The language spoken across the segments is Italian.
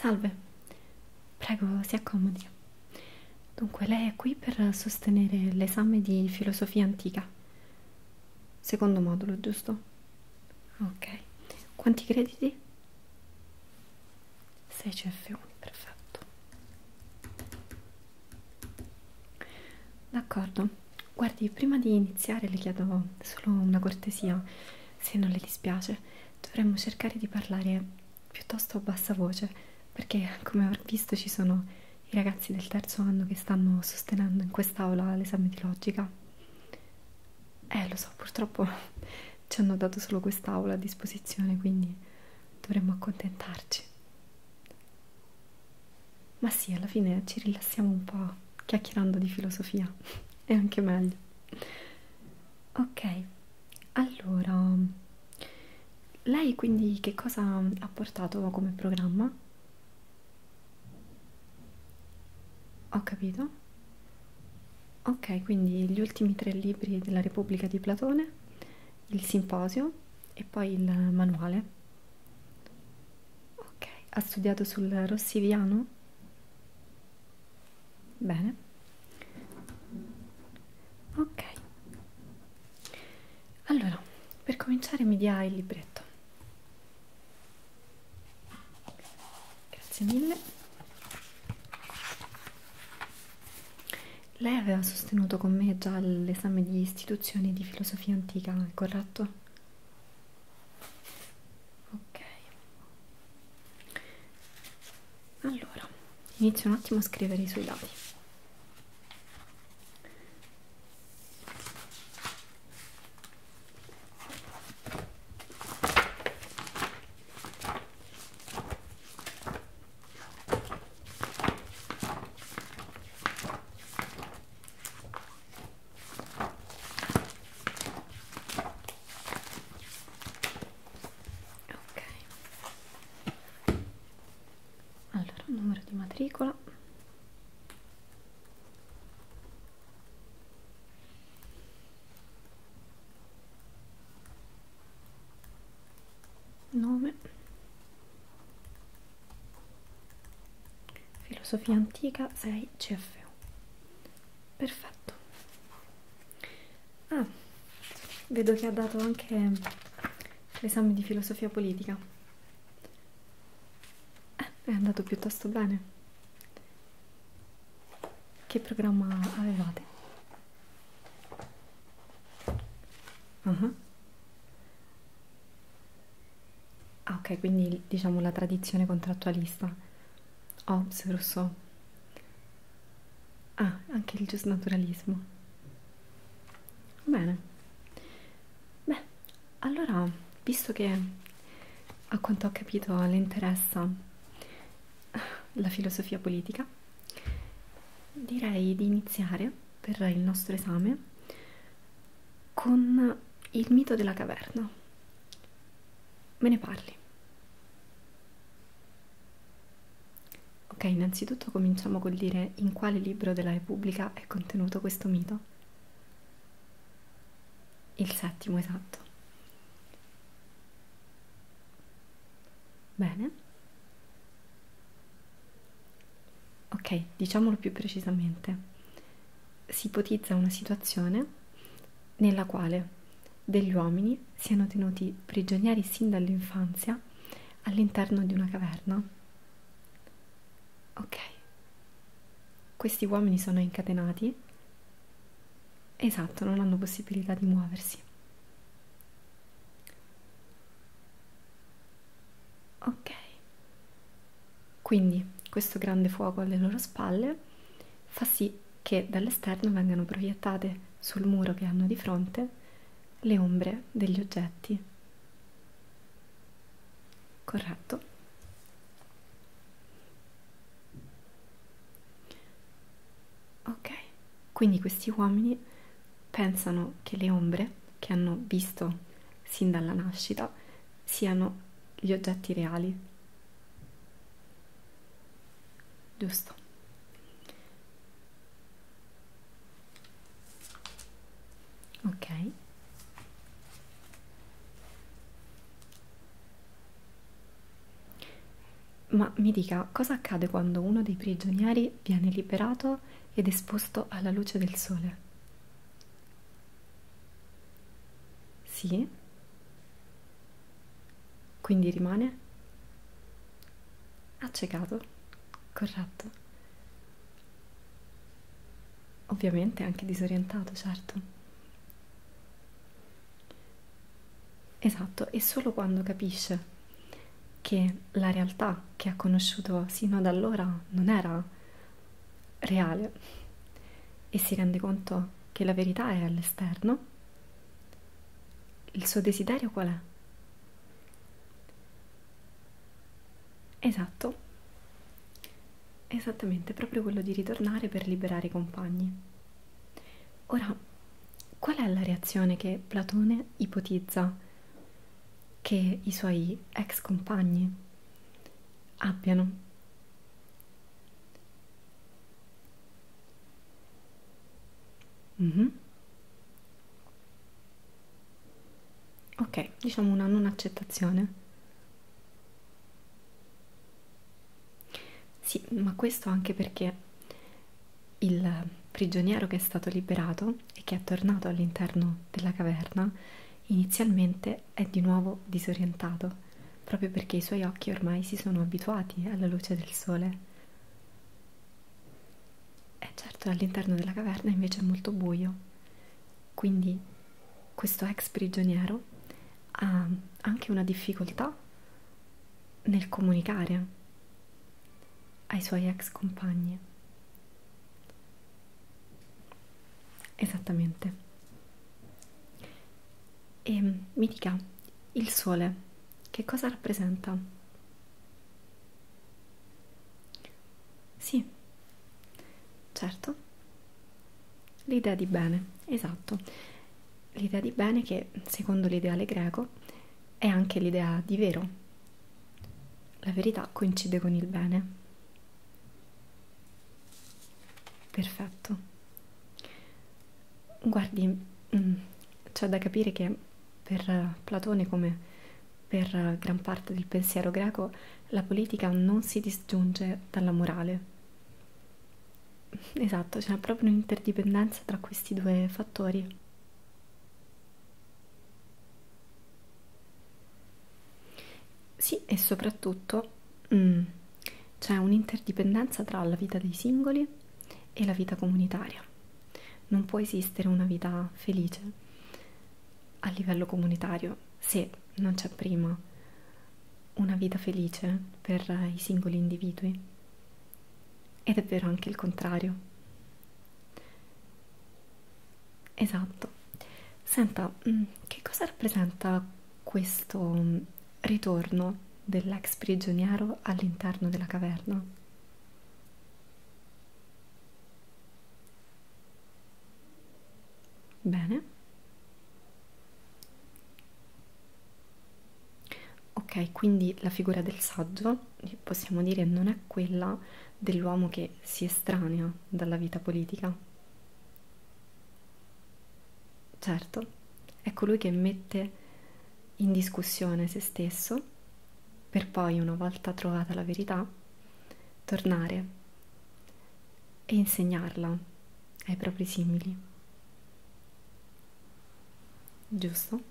Salve, prego si accomodi. Dunque, lei è qui per sostenere l'esame di filosofia antica. Secondo modulo, giusto? Ok. Quanti crediti? 6 CF1, perfetto d'accordo guardi prima di iniziare le chiedo solo una cortesia se non le dispiace dovremmo cercare di parlare piuttosto a bassa voce perché come avrete visto ci sono i ragazzi del terzo anno che stanno sostenendo in quest'aula l'esame di logica eh lo so purtroppo ci hanno dato solo quest'aula a disposizione quindi dovremmo accontentarci ma sì, alla fine ci rilassiamo un po' chiacchierando di filosofia, è anche meglio. Ok, allora, lei quindi che cosa ha portato come programma? Ho capito. Ok, quindi gli ultimi tre libri della Repubblica di Platone il simposio e poi il manuale. Ok, ha studiato sul rossiviano? Bene. Ok. Allora, per cominciare mi dia il libretto. Grazie mille. Lei aveva sostenuto con me già l'esame di istituzioni di filosofia antica, corretto? Ok. Allora, inizio un attimo a scrivere i suoi dati. Ok. Allora, numero di matricola nome filosofia antica 6 CFU perfetto ah vedo che ha dato anche l'esame di filosofia politica eh, è andato piuttosto bene che programma avevate Uh-huh. Ah, ok, quindi diciamo la tradizione contrattualista. Hobbes, Rousseau. Ah, anche il giusnaturalismo. Bene. Beh, allora, visto che a quanto ho capito le interessa la filosofia politica, direi di iniziare verrà il nostro esame con il mito della caverna. Me ne parli. Ok, innanzitutto cominciamo col dire in quale libro della Repubblica è contenuto questo mito. Il settimo, esatto. Bene. Ok, diciamolo più precisamente. Si ipotizza una situazione nella quale degli uomini siano tenuti prigionieri sin dall'infanzia all'interno di una caverna. Ok, questi uomini sono incatenati. Esatto, non hanno possibilità di muoversi. Ok, quindi questo grande fuoco alle loro spalle fa sì che dall'esterno vengano proiettate sul muro che hanno di fronte le ombre degli oggetti. Corretto. Ok, quindi questi uomini pensano che le ombre che hanno visto sin dalla nascita siano gli oggetti reali. Giusto. Ok. Ma mi dica cosa accade quando uno dei prigionieri poi viene liberato ed esposto alla luce del sole. Sì? Quindi rimane accecato, corretto. Ovviamente anche disorientato, certo. Esatto, e solo quando capisce che la realtà che ha conosciuto sino ad allora non era reale e si rende conto che la verità è all'esterno, il suo desiderio qual è? Esatto, esattamente proprio quello di ritornare per liberare i compagni. Ora, qual è la reazione che Platone ipotizza? che i suoi ex compagni abbiano. Mm -hmm. Ok, diciamo una non accettazione. Sì, ma questo anche perché il prigioniero che è stato liberato e che è tornato all'interno della caverna inizialmente è di nuovo disorientato proprio perché i suoi occhi ormai si sono abituati alla luce del sole. E certo all'interno della caverna invece è molto buio, quindi questo ex prigioniero ha anche una difficoltà nel comunicare ai suoi ex compagni. Esattamente. E mm, mi dica, il sole che cosa rappresenta? Sì, certo. L'idea di bene, esatto. L'idea di bene che, secondo l'ideale greco, è anche l'idea di vero, la verità coincide con il bene. Perfetto. Guardi, mm, c'è da capire che per Platone, come per gran parte del pensiero greco, la politica non si disgiunge dalla morale. Esatto, c'è proprio un'interdipendenza tra questi due fattori. Sì, e soprattutto mm, c'è un'interdipendenza tra la vita dei singoli e la vita comunitaria. Non può esistere una vita felice a livello comunitario se non c'è prima una vita felice per i singoli individui. Ed è vero anche il contrario. Esatto. Senta, mm, che cosa rappresenta questo mm, ritorno dell'ex prigioniero all'interno della caverna? Bene. Ok, quindi la figura del saggio possiamo dire non è quella dell'uomo che si estranea dalla vita politica. Certo, è colui ecco che mette in discussione se stesso per poi, una volta trovata la verità, tornare e insegnarla ai propri simili giusto?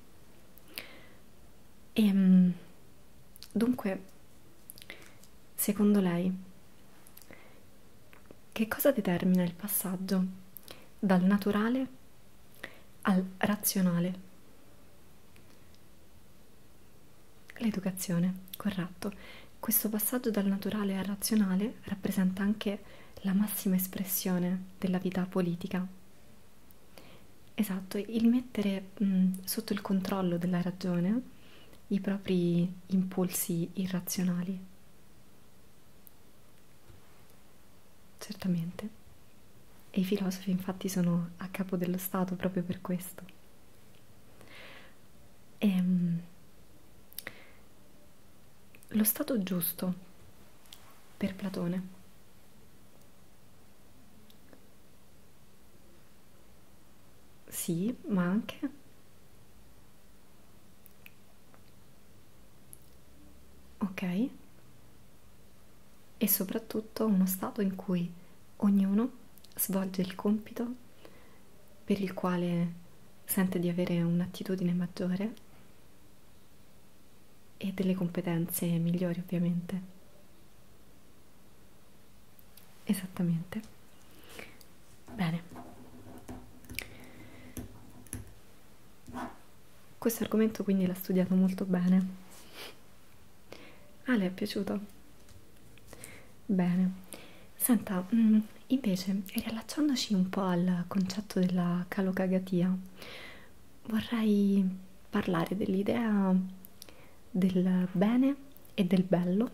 E ehm, dunque, secondo lei, che cosa determina il passaggio dal naturale al razionale? L'educazione, corretto. Questo passaggio dal naturale al razionale rappresenta anche la massima espressione della vita politica Esatto, il mettere mh, sotto il controllo della ragione i propri impulsi irrazionali. Certamente. E i filosofi infatti sono a capo dello Stato proprio per questo. E, ehm, mh, lo stato giusto per Platone sì, ma anche ok e soprattutto uno stato in cui ognuno svolge il compito per il quale sente di avere un'attitudine maggiore e delle competenze migliori ovviamente esattamente bene questo argomento quindi l'ha studiato molto bene ah le è piaciuto bene senta mm, invece riallacciandoci un po' al concetto della calocagatia vorrei parlare dell'idea del bene e del bello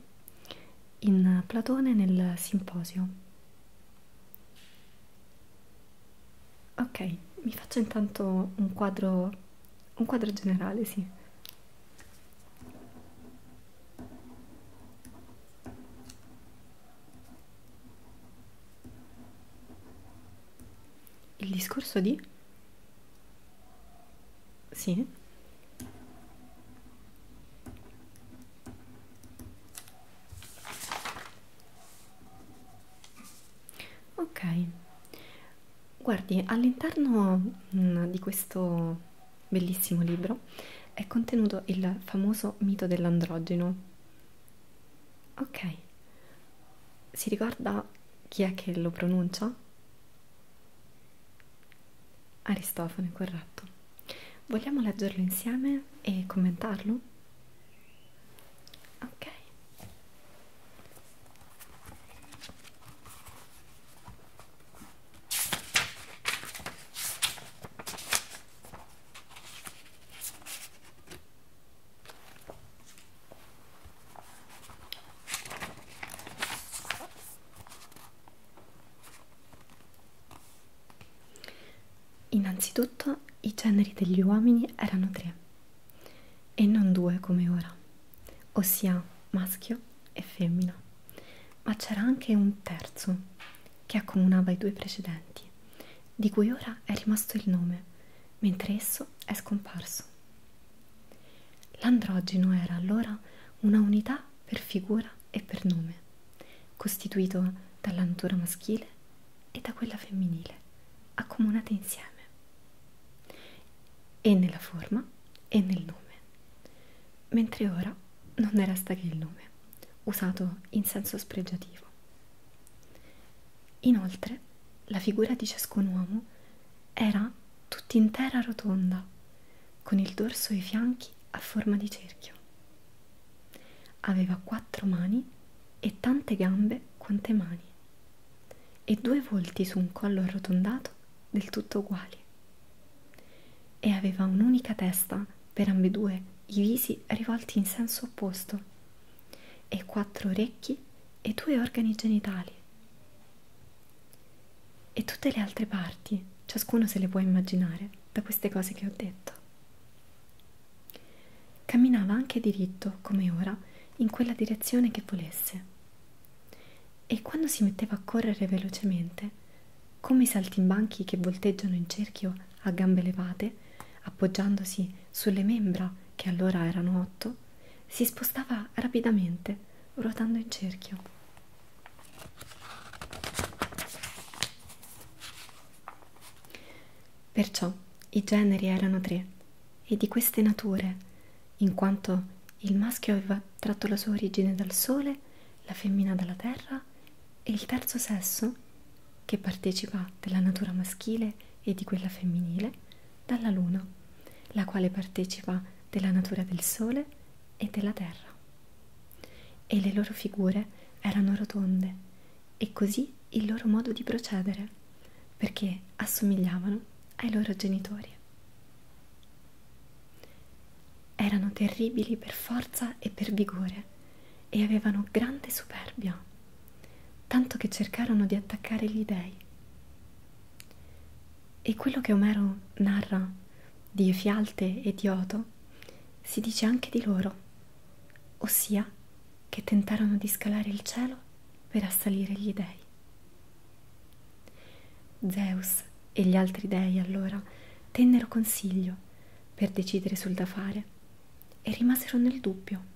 in Platone nel simposio. Ok, mi faccio intanto un quadro, un quadro generale, sì. Il discorso di? Sì. Ok. Guardi, all'interno mm, di questo bellissimo libro è contenuto il famoso mito dell'androgeno Ok, si ricorda chi è che lo pronuncia? Aristofane, corretto. Vogliamo leggerlo insieme e commentarlo? Ok. Innanzitutto i generi degli uomini erano tre e non due come ora, ossia maschio e femmina, ma c'era anche un terzo che accomunava i due precedenti, di cui ora è rimasto il nome, mentre esso è scomparso. L'androgeno era allora una unità per figura e per nome, costituito dalla natura maschile e da quella femminile, accomunate insieme, e nella forma e nel nome, mentre ora non ne resta che il nome, usato in senso spregiativo schiavo. Inoltre, la figura di ciascun uomo era tutt'intera rotonda, con il dorso e i fianchi a forma di cerchio. Aveva quattro mani e tante gambe quante mani, e due volti su un collo arrotondato del tutto uguali. E aveva un'unica testa per ambedue i visi rivolti in senso opposto, e quattro orecchi e due organi genitali. E tutte le altre parti, ciascuno se le può immaginare da queste cose che ho detto. Camminava anche diritto, come ora, in quella direzione che volesse. E quando si metteva a correre velocemente, come i saltimbanchi che volteggiano in cerchio a gambe levate, appoggiandosi sulle membra, che allora erano otto, si spostava rapidamente, ruotando in cerchio. Perciò i generi erano tre, e di queste nature, in quanto il maschio aveva tratto la sua origine dal sole, la femmina dalla terra, e il terzo sesso che partecipa della natura maschile e di quella femminile dalla Luna, la quale partecipa della natura del Sole e della Terra. E le loro figure erano rotonde e così il loro modo di procedere, perché assomigliavano ai loro genitori. Erano terribili per forza e per vigore e avevano grande superbia tanto che cercarono di attaccare gli dei. E quello che Omero narra di Efialte e di Odo si dice anche di loro, ossia che tentarono di scalare il cielo per assalire gli dei. Zeus e gli altri dei allora tennero consiglio per decidere sul da fare e rimasero nel dubbio.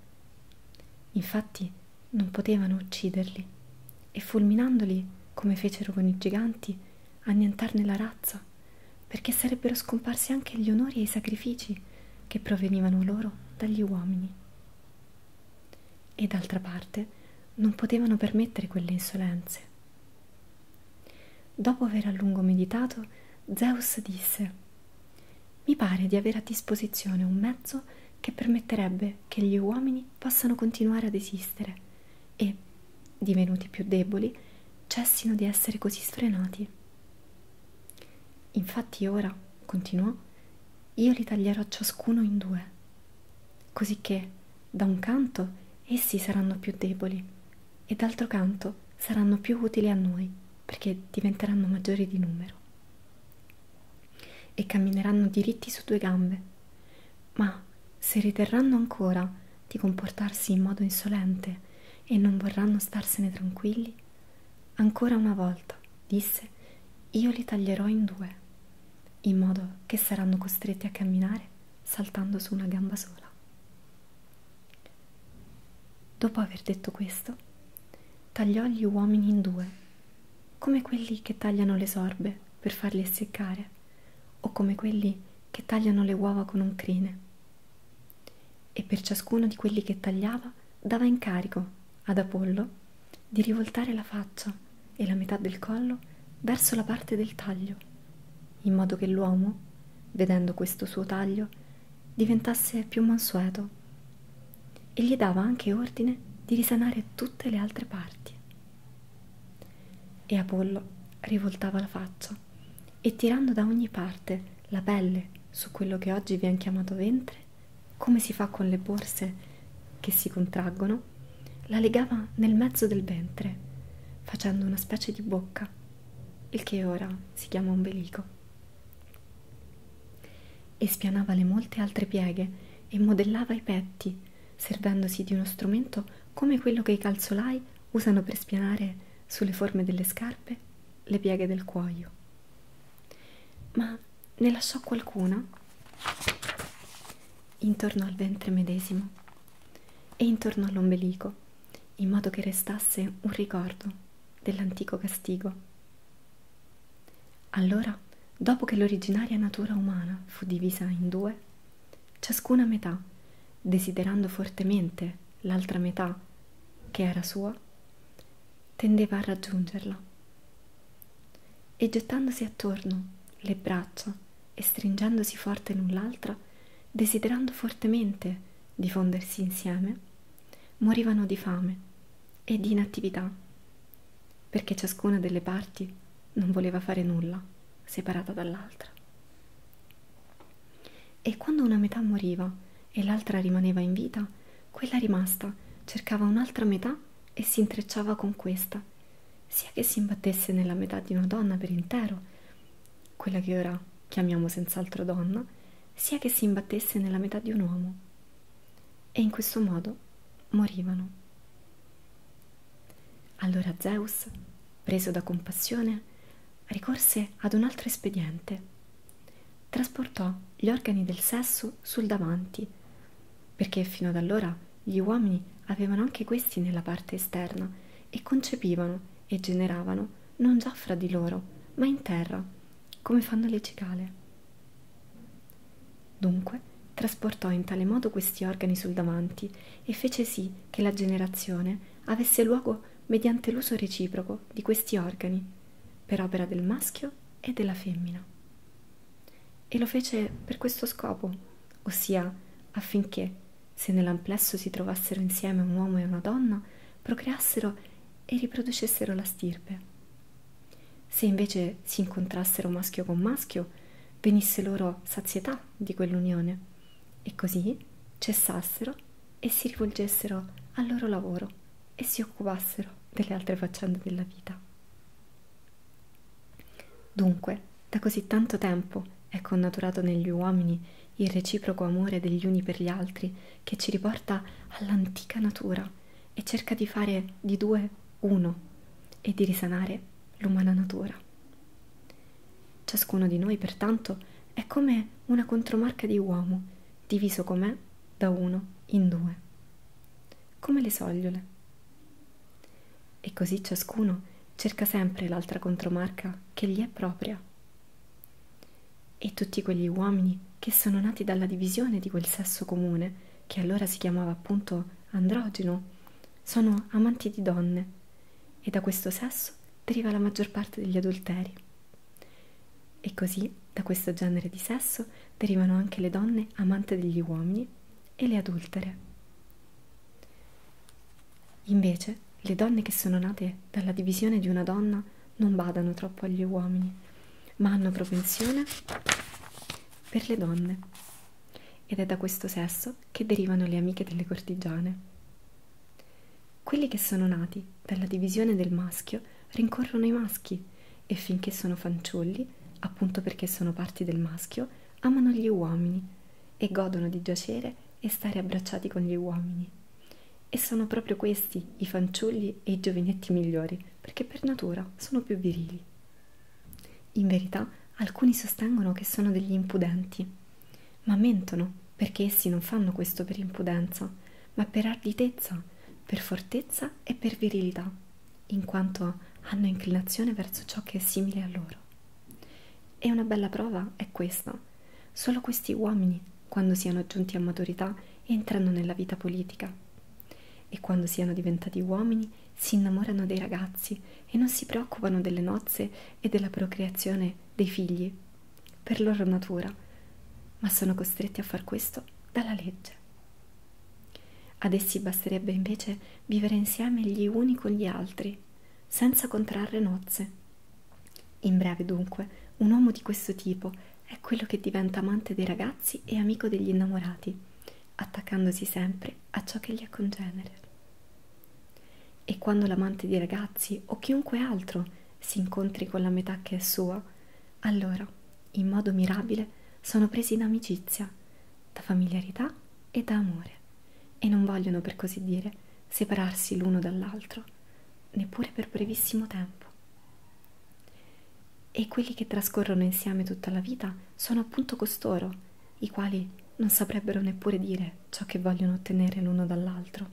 Infatti non potevano ucciderli e fulminandoli, come fecero con i giganti, annientarne la razza, perché sarebbero scomparsi anche gli onori e i sacrifici che provenivano loro dagli uomini. E d'altra parte non potevano permettere quelle insolenze. Dopo aver a lungo meditato, Zeus disse mi pare di avere a disposizione un mezzo che permetterebbe che gli uomini possano continuare ad esistere e, divenuti più deboli, cessino di essere così sfrenati. Infatti ora, continuò, io li taglierò ciascuno in due, così che, da un canto, essi saranno più deboli e d'altro canto saranno più utili a noi perché diventeranno maggiori di numero e cammineranno diritti su due gambe, ma se riterranno ancora di comportarsi in modo insolente e non vorranno starsene tranquilli, ancora una volta, disse, io li taglierò in due, in modo che saranno costretti a camminare saltando su una gamba sola. Dopo aver detto questo, tagliò gli uomini in due, come quelli che tagliano le sorbe per farli essiccare, o come quelli che tagliano le uova con un crine. E per ciascuno di quelli che tagliava dava incarico ad Apollo di rivoltare la faccia e la metà del collo verso la parte del taglio, in modo che l'uomo, vedendo questo suo taglio, diventasse più mansueto e gli dava anche ordine di risanare tutte le altre parti. E Apollo rivoltava la faccia e tirando da ogni parte la pelle su quello che oggi viene chiamato ventre, come si fa con le borse che si contraggono, la legava nel mezzo del ventre, facendo una specie di bocca, il che ora si chiama ombelico. E spianava le molte altre pieghe e modellava i petti, servendosi di uno strumento come quello che i calzolai usano per spianare sulle forme delle scarpe le pieghe del cuoio. Ma ne lasciò qualcuna intorno al ventre medesimo e intorno all'ombelico, in modo che restasse un ricordo dell'antico castigo. Allora, dopo che l'originaria natura umana fu divisa in due, ciascuna metà, desiderando fortemente l'altra metà che era sua, tendeva a raggiungerla. E gettandosi attorno le braccia e stringendosi forte l'un l'altra, desiderando fortemente di fondersi insieme, morivano di fame e di inattività, perché ciascuna delle parti non voleva fare nulla separata dall'altra. E quando una metà moriva e l'altra rimaneva in vita, quella rimasta cercava un'altra metà e si intrecciava con questa, sia che si imbattesse nella metà di una donna per intero, quella che ora chiamiamo senz'altro donna, sia che si imbattesse nella metà di un uomo, e in questo modo morivano. Allora Zeus, preso da compassione, ricorse ad un altro espediente. Trasportò gli organi del sesso sul davanti, perché fino ad allora gli uomini avevano anche questi nella parte esterna e concepivano e generavano non già fra di loro, ma in terra come fanno le cicale. Dunque trasportò in tale modo questi organi sul davanti e fece sì che la generazione avesse luogo mediante l'uso reciproco di questi organi, per opera del maschio e della femmina. E lo fece per questo scopo, ossia affinché, se nell'amplesso si trovassero insieme un uomo e una donna, procreassero e riproducessero la stirpe. Se invece si incontrassero maschio con maschio, venisse loro sazietà di quell'unione e così cessassero e si rivolgessero al loro lavoro e si occupassero delle altre faccende della vita. Dunque, da così tanto tempo è connaturato negli uomini il reciproco amore degli uni per gli altri che ci riporta all'antica natura e cerca di fare di due uno e di risanare l'umana natura. Ciascuno di noi, pertanto, è come una contromarca di uomo, diviso com'è da uno in due, come le sogliole. E così ciascuno cerca sempre l'altra contromarca che gli è propria e tutti quegli uomini che sono nati dalla divisione di quel sesso comune, che allora si chiamava appunto androgeno, sono amanti di donne e da questo sesso deriva la maggior parte degli adulteri. E così da questo genere di sesso derivano anche le donne amante degli uomini e le adultere. Invece, le donne che sono nate dalla divisione di una donna non badano troppo agli uomini, ma hanno propensione per le donne. Ed è da questo sesso che derivano le amiche delle cortigiane. Quelli che sono nati per la divisione del maschio rincorrono i maschi e finché sono fanciulli, appunto perché sono parti del maschio, amano gli uomini e godono di giacere e stare abbracciati con gli uomini. E sono proprio questi i fanciulli e i giovinetti migliori, perché per natura sono più virili. In verità, alcuni sostengono che sono degli impudenti, ma mentono perché essi non fanno questo per impudenza, ma per arditezza, per fortezza e per virilità, in quanto hanno inclinazione verso ciò che è simile a loro. E una bella prova è questa. Solo questi uomini, quando siano giunti a maturità, entrano nella vita politica e quando siano diventati uomini si innamorano dei ragazzi e non si preoccupano delle nozze e della procreazione dei figli, per loro natura, ma sono costretti a far questo dalla legge. Ad essi basterebbe invece vivere insieme gli uni con gli altri, senza contrarre nozze in breve, dunque, un uomo di questo tipo è quello che diventa amante dei ragazzi e amico degli innamorati, attaccandosi sempre a ciò che gli è congenere. E quando l'amante dei ragazzi o chiunque altro si incontri con la metà che è sua, allora, in modo mirabile, sono presi da amicizia, da familiarità e da amore, e non vogliono, per così dire, separarsi l'uno dall'altro, neppure per brevissimo tempo. E quelli che trascorrono insieme tutta la vita sono appunto costoro, i quali non saprebbero neppure dire ciò che vogliono ottenere l'uno dall'altro.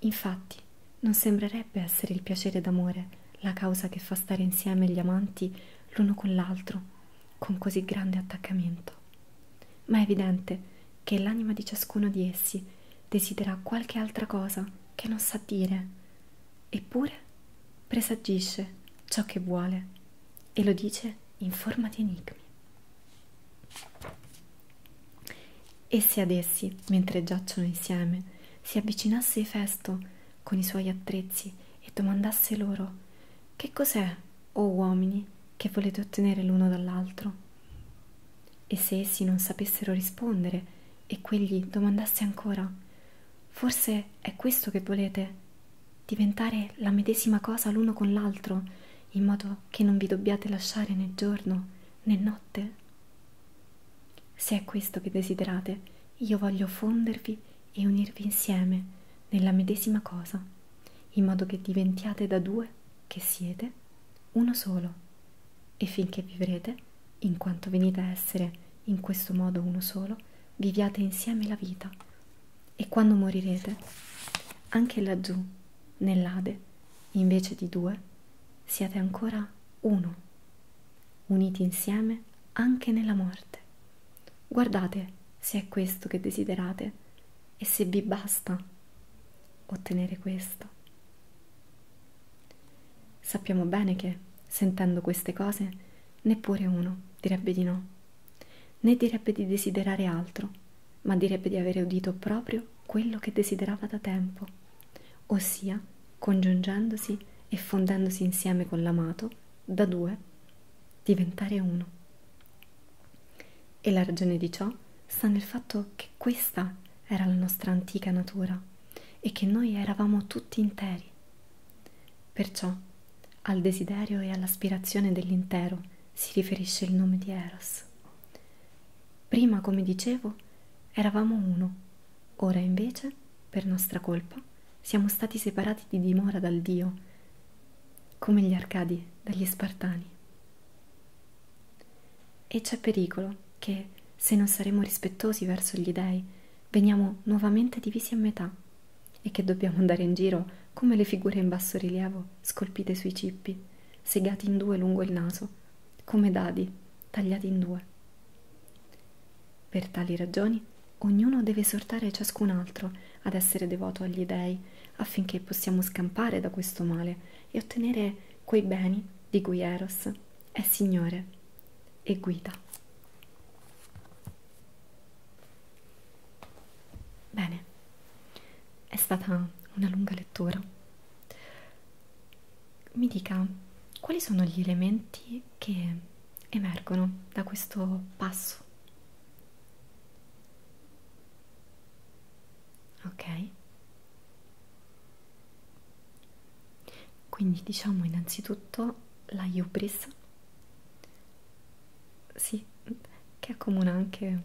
Infatti, non sembrerebbe essere il piacere d'amore la causa che fa stare insieme gli amanti l'uno con l'altro, con così grande attaccamento. Ma è evidente che l'anima di ciascuno di essi desidera qualche altra cosa che non sa dire, eppure presagisce ciò che vuole e lo dice in forma di enigmi. E se ad essi, mentre giacciono insieme, si avvicinasse Efesto con i suoi attrezzi e domandasse loro che cos'è, o oh uomini, che volete ottenere l'uno dall'altro? E se essi non sapessero rispondere e quegli domandasse ancora, forse è questo che volete? Diventare la medesima cosa l'uno con l'altro, in modo che non vi dobbiate lasciare né giorno né notte? Se è questo che desiderate, io voglio fondervi e unirvi insieme nella medesima cosa, in modo che diventiate da due che siete uno solo e finché vivrete, in quanto venite a essere in questo modo uno solo, viviate insieme la vita e quando morirete, anche laggiù, nell'Ade, invece di due, siate ancora uno, uniti insieme anche nella morte. Guardate se è questo che desiderate e se vi basta ottenere questo. Sappiamo bene che, sentendo queste cose, neppure uno direbbe di no, né direbbe di desiderare altro, ma direbbe di avere udito proprio quello che desiderava da tempo, ossia, congiungendosi e fondendosi insieme con l'amato, da due diventare uno. E la ragione di ciò sta nel fatto che questa era la nostra antica natura e che noi eravamo tutti interi. Perciò al desiderio e all'aspirazione dell'intero si riferisce il nome di Eros. Prima, come dicevo, eravamo uno, ora invece, per nostra colpa, siamo stati separati di dimora dal Dio, come gli Arcadi dagli Spartani. E c'è pericolo che, se non saremo rispettosi verso gli dei, veniamo nuovamente divisi a metà e che dobbiamo andare in giro come le figure in basso rilievo scolpite sui cippi, segati in due lungo il naso, come dadi tagliati in due. Per tali ragioni, ognuno deve esortare ciascun altro ad essere devoto agli dei affinché possiamo scampare da questo male e ottenere quei beni di cui Eros è Signore e guida. Bene, è stata una lunga lettura. Mi dica quali sono gli elementi che emergono da questo passo ok? Quindi diciamo innanzitutto la hubris, sì, che accomuna anche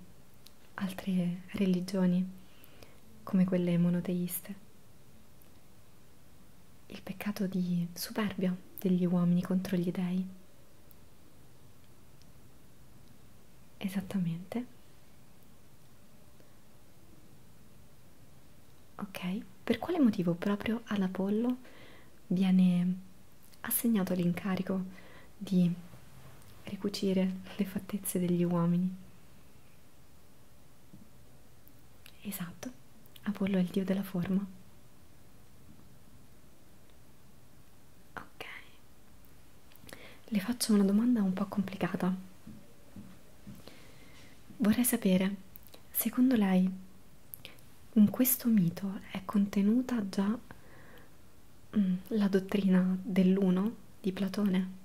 altre religioni come quelle monoteiste. Il peccato di superbia degli uomini contro gli dei esattamente ok per quale motivo proprio all'Apollo viene assegnato l'incarico di ricucire le fattezze degli uomini esatto Apollo è il dio della forma Ok, le faccio una domanda un po' complicata. Vorrei sapere, secondo lei, in questo mito è contenuta già mm, la dottrina dell'uno di Platone?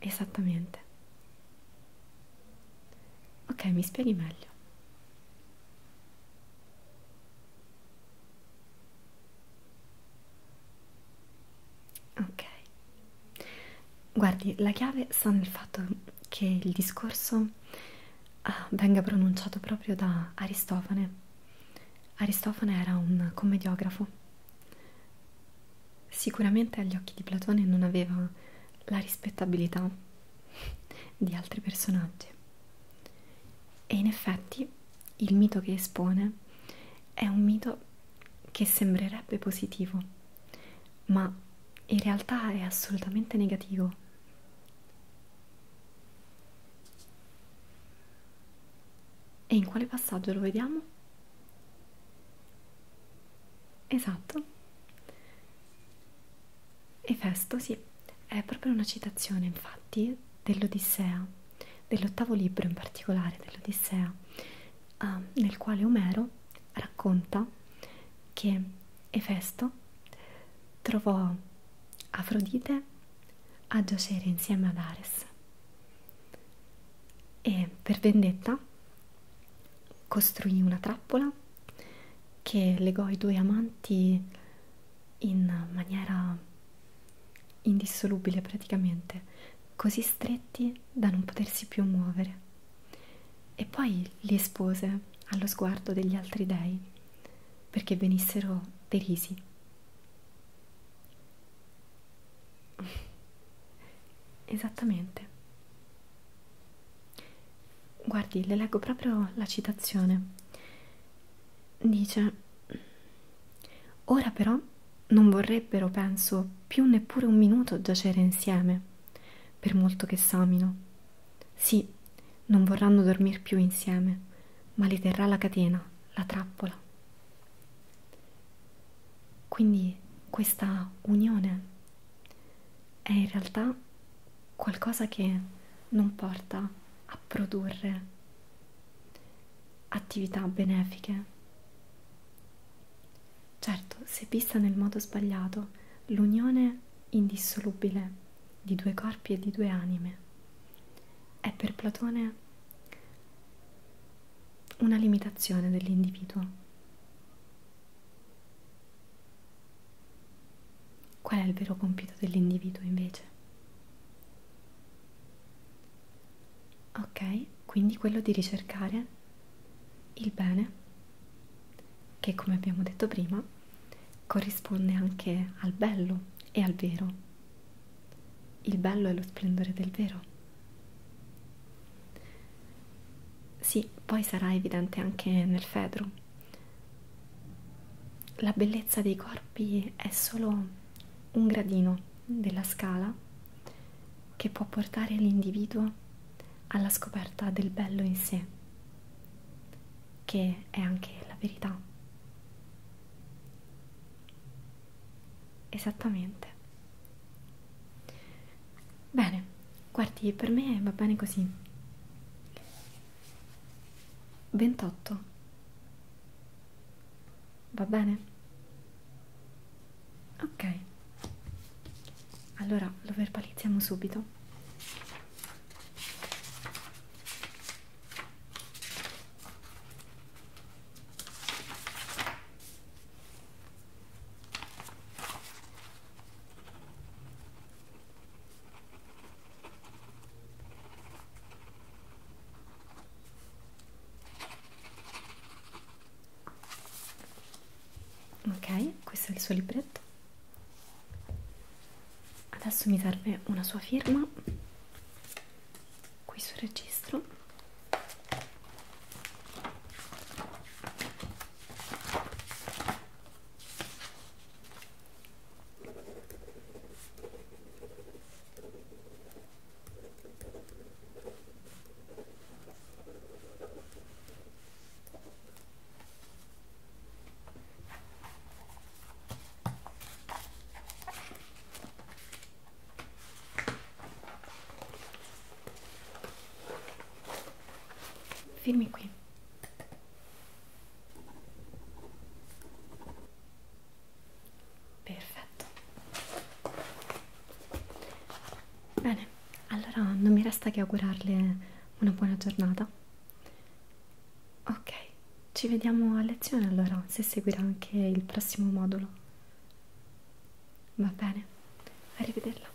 Esattamente. Ok, mi spieghi meglio. Ok, guardi, la chiave sta nel fatto che il discorso ah, venga pronunciato proprio da Aristofane. Aristofane era un commediografo. Sicuramente agli occhi di Platone non aveva la rispettabilità di altri personaggi e in effetti il mito che espone è un mito che sembrerebbe positivo ma in realtà è assolutamente negativo e in quale passaggio lo vediamo? Esatto Efesto, sì, è proprio una citazione infatti dell'Odissea, dell'ottavo libro in particolare dell'Odissea, uh, nel quale Omero racconta che Efesto trovò Afrodite a giacere insieme ad Ares e per vendetta costruì una trappola che legò i due amanti in maniera indissolubile praticamente, così stretti da non potersi più muovere. E poi li espose allo sguardo degli altri dei perché venissero derisi. Esattamente. Guardi, le leggo proprio la citazione. Dice: Ora però non vorrebbero, penso, più neppure un minuto giacere insieme, per molto che s'amino. Sì, non vorranno dormir più insieme, ma li terrà la catena, la trappola. Quindi questa unione è in realtà qualcosa che non porta a produrre attività benefiche. Certo, se vista nel modo sbagliato, l'unione indissolubile di due corpi e di due anime è per Platone una limitazione dell'individuo Qual è il vero compito dell'individuo invece? Ok, quindi quello di ricercare il bene, che come abbiamo detto prima corrisponde anche al bello e al vero. Il bello è lo splendore del vero. Sì, poi sarà evidente anche nel Fedro, la bellezza dei corpi è solo un gradino della scala che può portare l'individuo alla scoperta del bello in sé, che è anche la verità. Esattamente. Bene, Guardi, per me va bene così. 28. Va bene? Ok. Allora lo verbalizziamo subito. Ok, questo è il suo libretto. Adesso mi serve una sua firma qui sul registro. Fermi qui. Perfetto. Bene, allora non mi resta che augurarle una buona giornata. Ok, ci vediamo a lezione allora, se seguirà anche il prossimo modulo. Va bene, arrivederla.